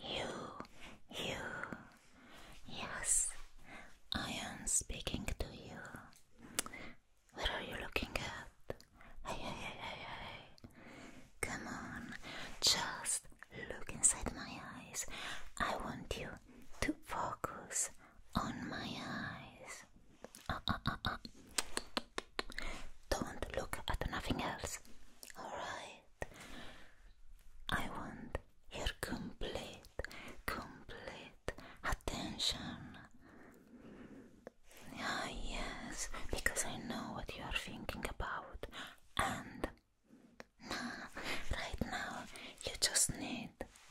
You, you, yes, I am speaking to you. What are you looking at? Hey, hey, hey, hey, hey. Come on, just Look inside my eyes. I want you to focus on my eyes. Ah, ah, ah, Don't look at nothing else. Alright. I want your complete, complete attention. Ah, yes, because I know what you are thinking about, and no, right now you just need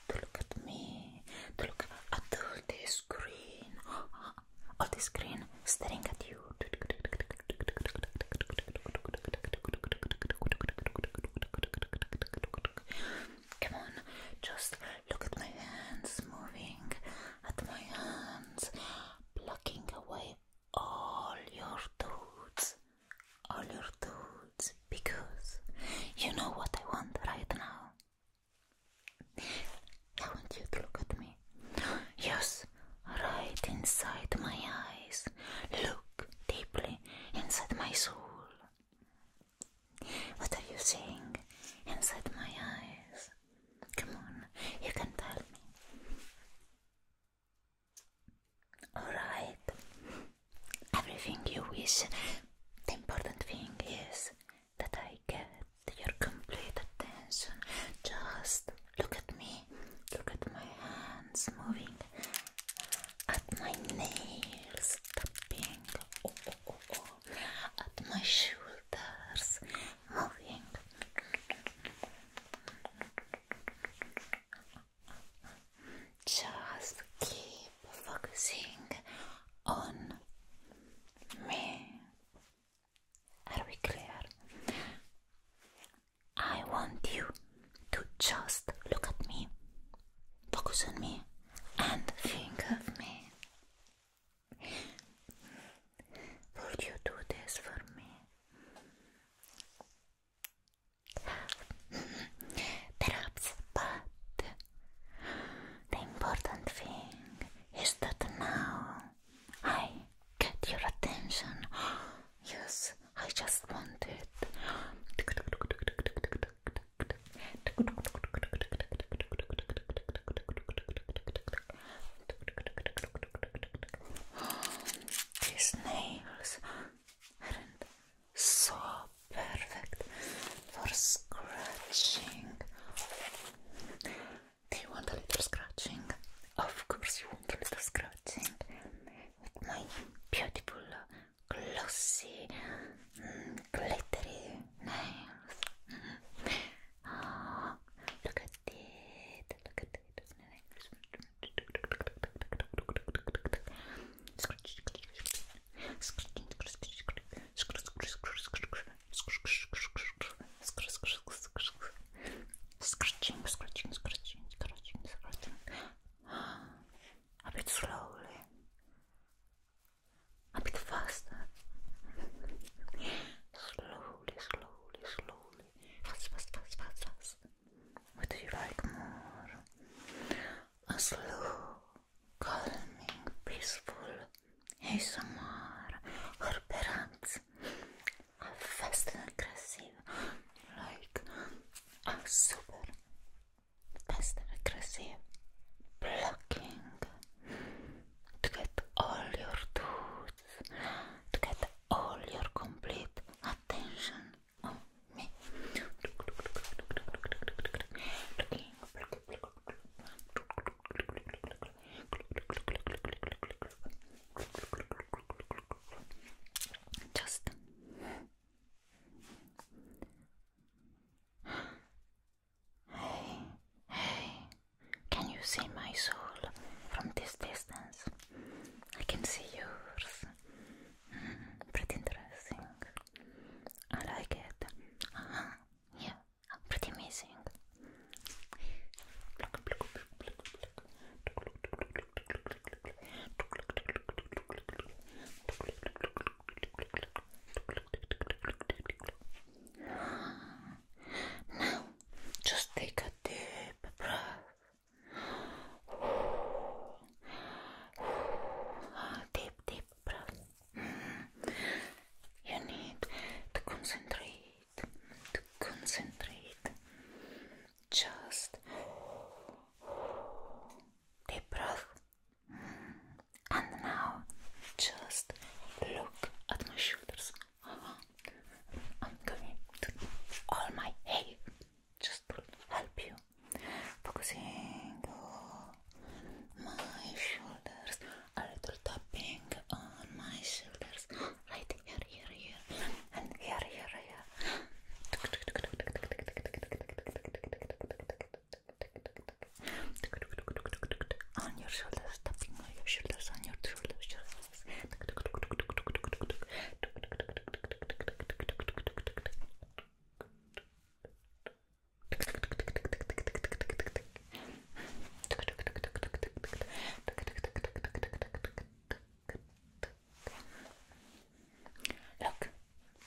to look at me, to look at all this screen, all this screen staring at you. Come on, just look at my hands moving, at my hands blocking away all your thoughts, all your thoughts, because you know what I want right now. I want you to look at me. Yes, right inside my eyes. Look deeply inside my soul. What are you seeing inside my eyes? Come on, you can tell me. Alright, everything you wish. The important thing is that I get your complete attention. Just look at me, look at my hands moving, at my nails tapping, oh, oh, oh, oh. at my shoulders moving. Just keep focusing on me. Are we clear? I want you to just look at me, focus on me, and think of me. Would you do this for me? Perhaps, but the important thing is that now I get your attention. Yes, I just wanted. it. These nails are so perfect for scratching. Do you want a little scratching? Of course, you want a little scratching with my beautiful, glossy, mm, glittery nails. Oh, look at it. Look at it. Scratching, scratching, scratching, scratching, scratching. A bit slowly. A bit faster. slowly, slowly, slowly. Fuss, fuss, fuss, fuss, fuss. What do you like more? A slow, calming, peaceful ASMR or perhaps a fast and aggressive, like a super fast and aggressive blocking to get all your tools, to get all your complete attention on oh, me. Just hey, hey. Can you see my soul from this distance? I can see yours. Mm-hmm. pretty interesting. I like it. Uh-huh. Yeah, pretty amazing. Now, just take a deep deep breath. Deep, deep breath. Mm. You need to concentrate, to concentrate. Just deep breath. And now just look at my shoulders. I'm going to all my hair just to help you. Focusing on my shoulders, a little tapping on my shoulders, right here, here, here, and here, here, here. On your shoulders, tapping on your shoulders, on your shoulders. Look,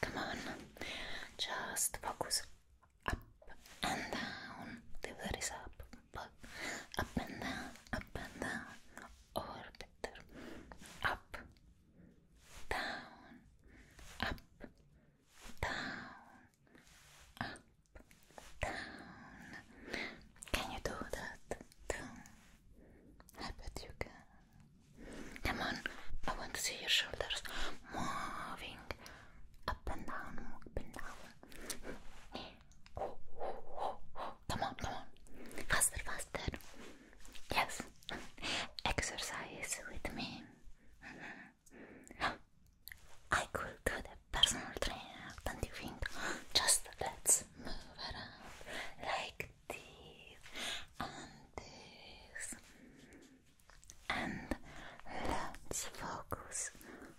come on, just focus up and down. The is up up, up and down, up and down, orbiter, up, down, up, down, up, down. Can you do that too? I bet you can. Come on, I want to see your shoulders moving up and down, up and down. Come on, come on. Faster, faster. Yes. Exercise with me. I could do the personal trainer, do you think? Just let's move around like this and this. And let's focus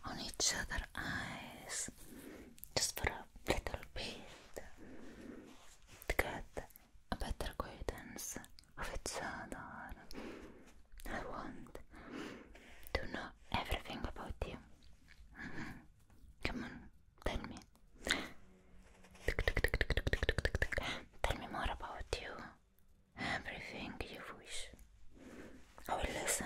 on each other's eyes just for a little bit to get a better acquaintance of each other. I want to know everything about you. Mm-hmm. Come on, tell me. Tell me more about you. Everything you wish. I will listen.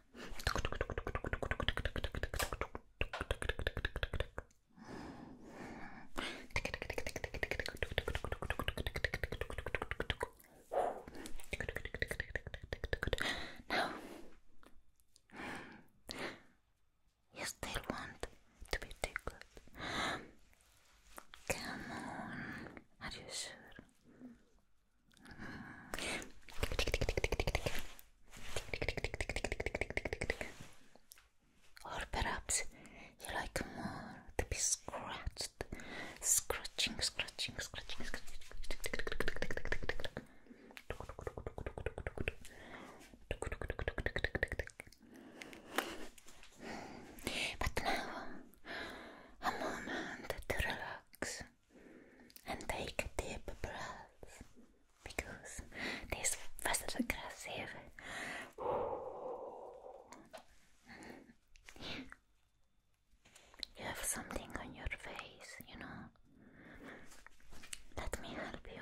Now, you still want to be tickled. Come on, are you sure? Or perhaps you like more to be scratched, scratching, scratching, scratching, But now, a moment to relax and take a deep breath because this was aggressive. You have something on your face, you know. Let me help you.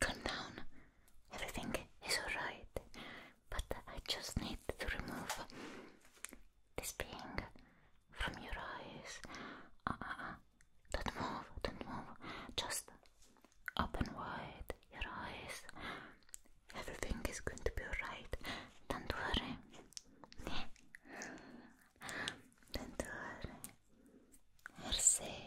Calm down. Everything is alright. But I just need to remove this thing from your eyes. Uh uh uh. Don't move, don't move. Just open wide your eyes. Everything is going to be alright. Don't worry. Don't worry. You're safe.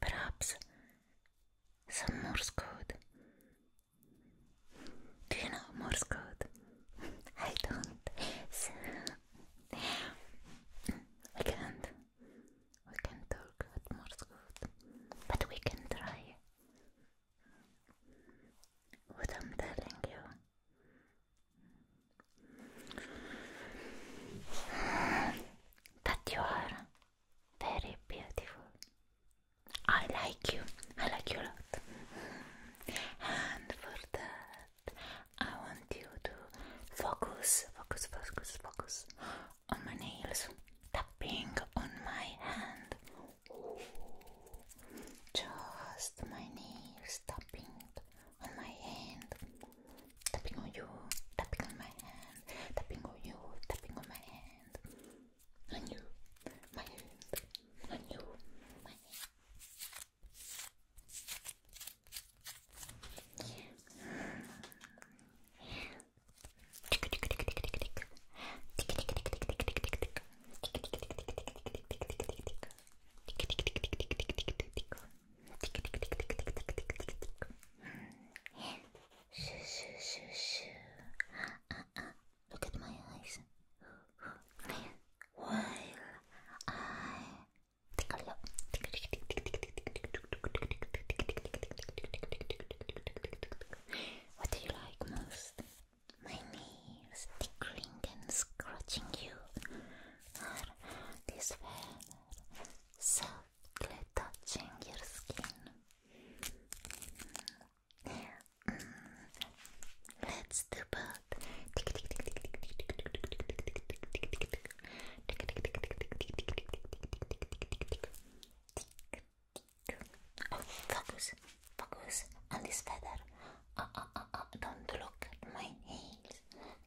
Perhaps some Morse code. Do you know Morse code? I don't. So can't. We can talk at Morse code, but we can try. What I'm telling you. That you are very beautiful. I like you. I like you a lot. And for that, I want you to focus, focus, focus, focus on my nails, tapping on my hand. Just my nails tapping on my hand. tapping on you, tapping on my hand, tapping on you, tapping on my hand, on you, my hand, on you, my hand. Shoo, shoo, shoo, shoo. Ah ah ah! look at my eyes. While I tickle you. What do you like most? My nails tickling and scratching you, or this fan? So touching your skin. Let's do both. Oh, focus, focus on this feather. Oh, oh, oh, oh. Don't look at my nails.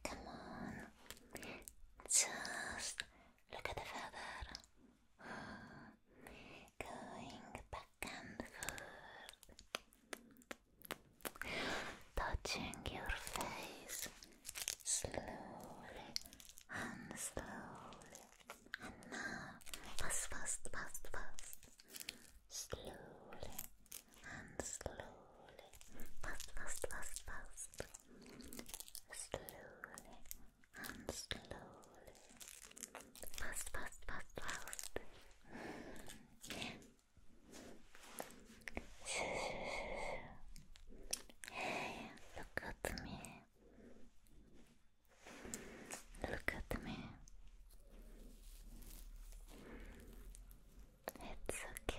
Come on, just Look at the feather. Going back and forth. Touching your face slowly and slowly. And now, fast, fast, fast, fast. Slowly and slowly. Fast, fast, fast, fast. Slowly and slowly. Fast, fast, fast, fast. look at me. Look at me. It's okay.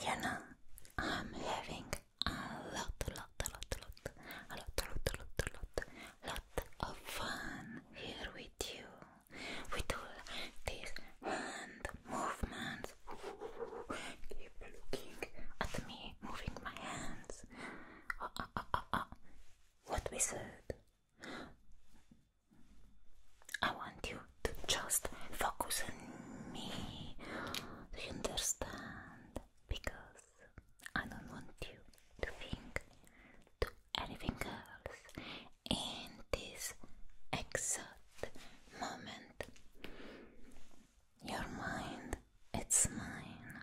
You know, I'm having a lot, lot, lot, lot, a lot, lot, lot, lot, lot of fun here with you, with all these hand movements. Keep looking at me moving my hands. What we said. I want you to just focus on me. Do you understand? Because I don't want you to think to anything else in this exact moment. Your mind, it's mine.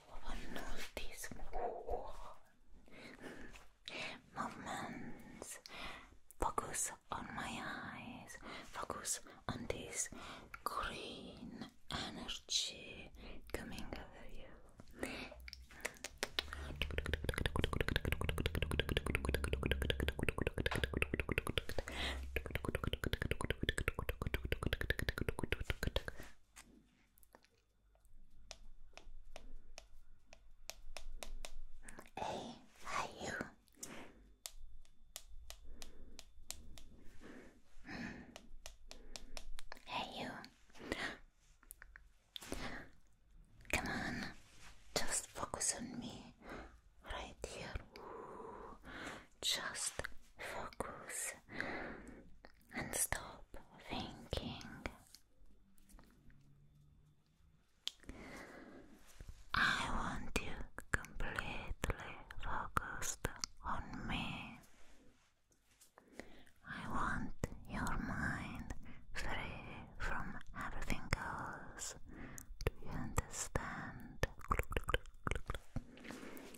on these movements. Focus on my eyes. Focus on this green energy coming over you. Hey, you. Hey you. Come on, just focus on me right here. Just focus and stop thinking. I want you completely focused on me. I want your mind free from everything else. Do you understand?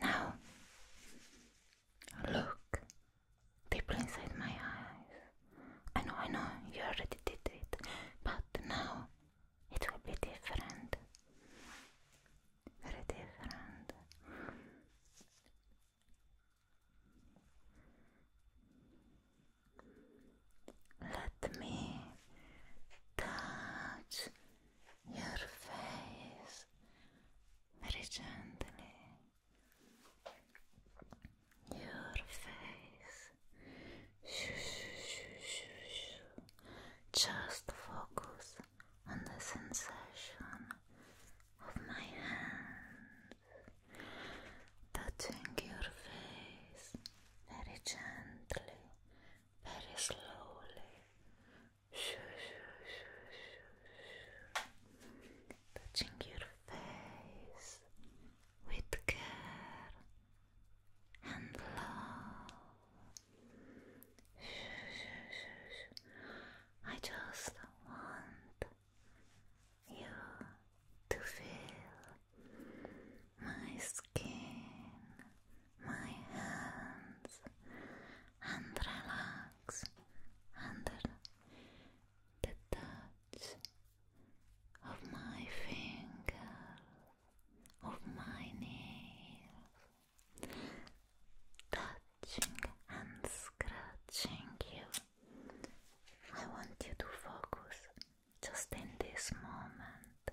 Now, look deeply inside my eyes. I know, I know, you already did it, but now it will be different very different. Let me touch your face very gently. Your face. Shoo, shoo, shoo, shoo, Just focus on the sensation of my hands touching your face very gently, very slowly. Touching your face with care and love. I just want you to feel my skin, my hands, and relax under the touch of my finger, of my nails touching and scratching you. I want you to focus just in this moment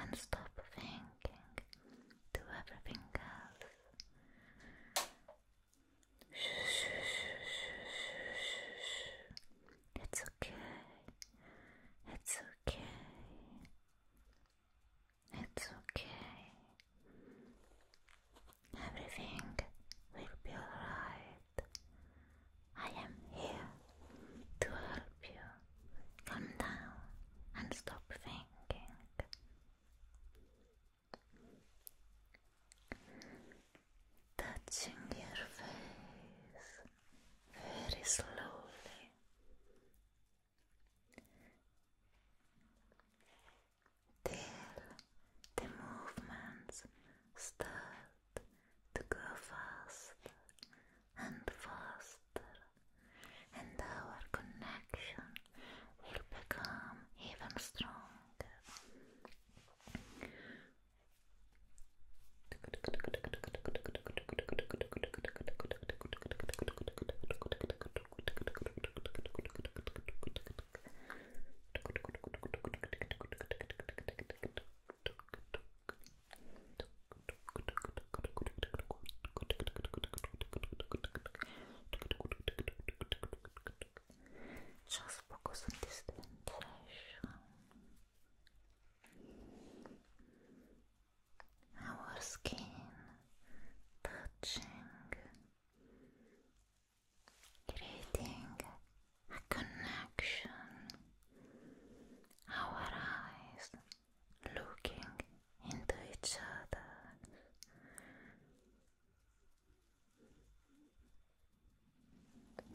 and stop thinking to everything else. It's okay. It's okay. It's okay. Everything will be alright. I am here to help you calm down and stop thinking. Touching your face very slowly Till the movements start to go faster and faster, and our connection will become even stronger. Just focus on this sensation our skin touching, creating a connection, our eyes looking into each other.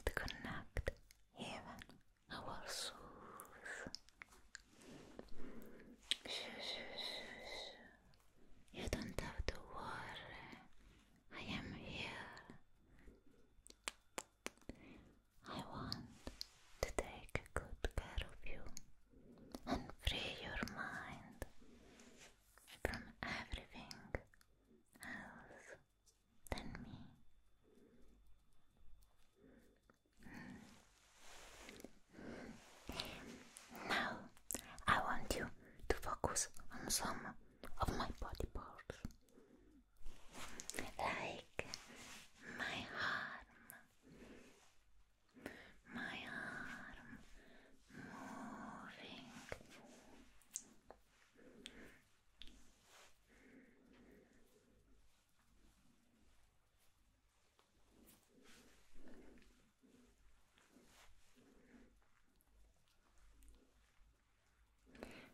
To connect even our souls. You don't have to worry. I am here. I want to take good care of you and free your mind from everything else than me. Now I want you to focus on some of my body parts, like my arm, my arm moving.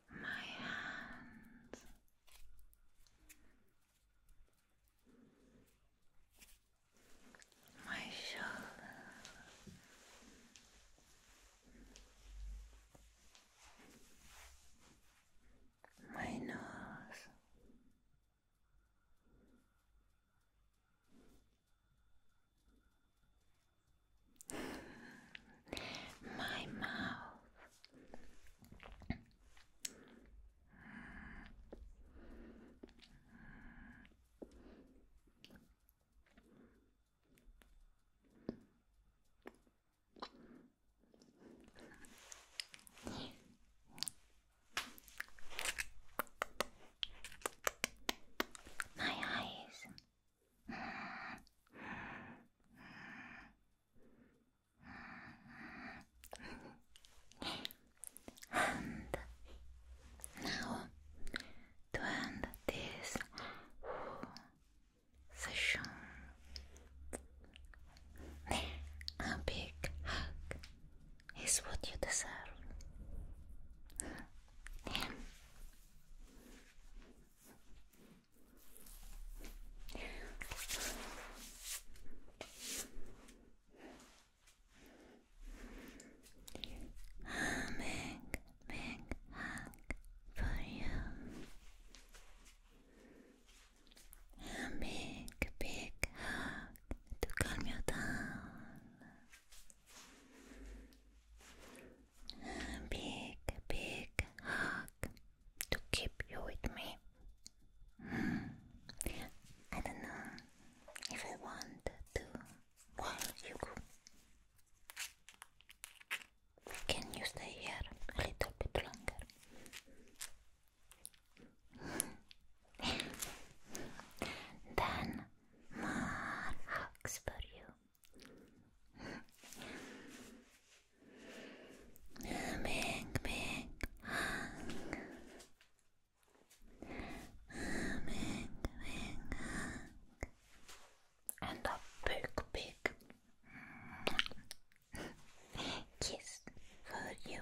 My hands. My shoulders, my nose, my mouth. My eyes. and now to end this session, a big hug is what you deserve. A big, big hug for you. A big, big hug to calm you down. A big, big hug to keep you with me. Hmm. I don't know if I want to. Well, you Can you stay here a little bit longer? ben maar haksbör ju. Mink, mink, hang. Mink, mink, hang. And a big, big kiss for you.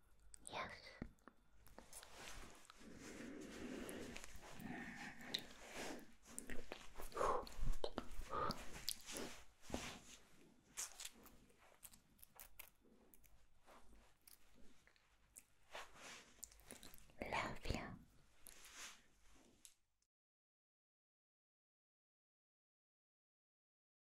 Yes. Love you.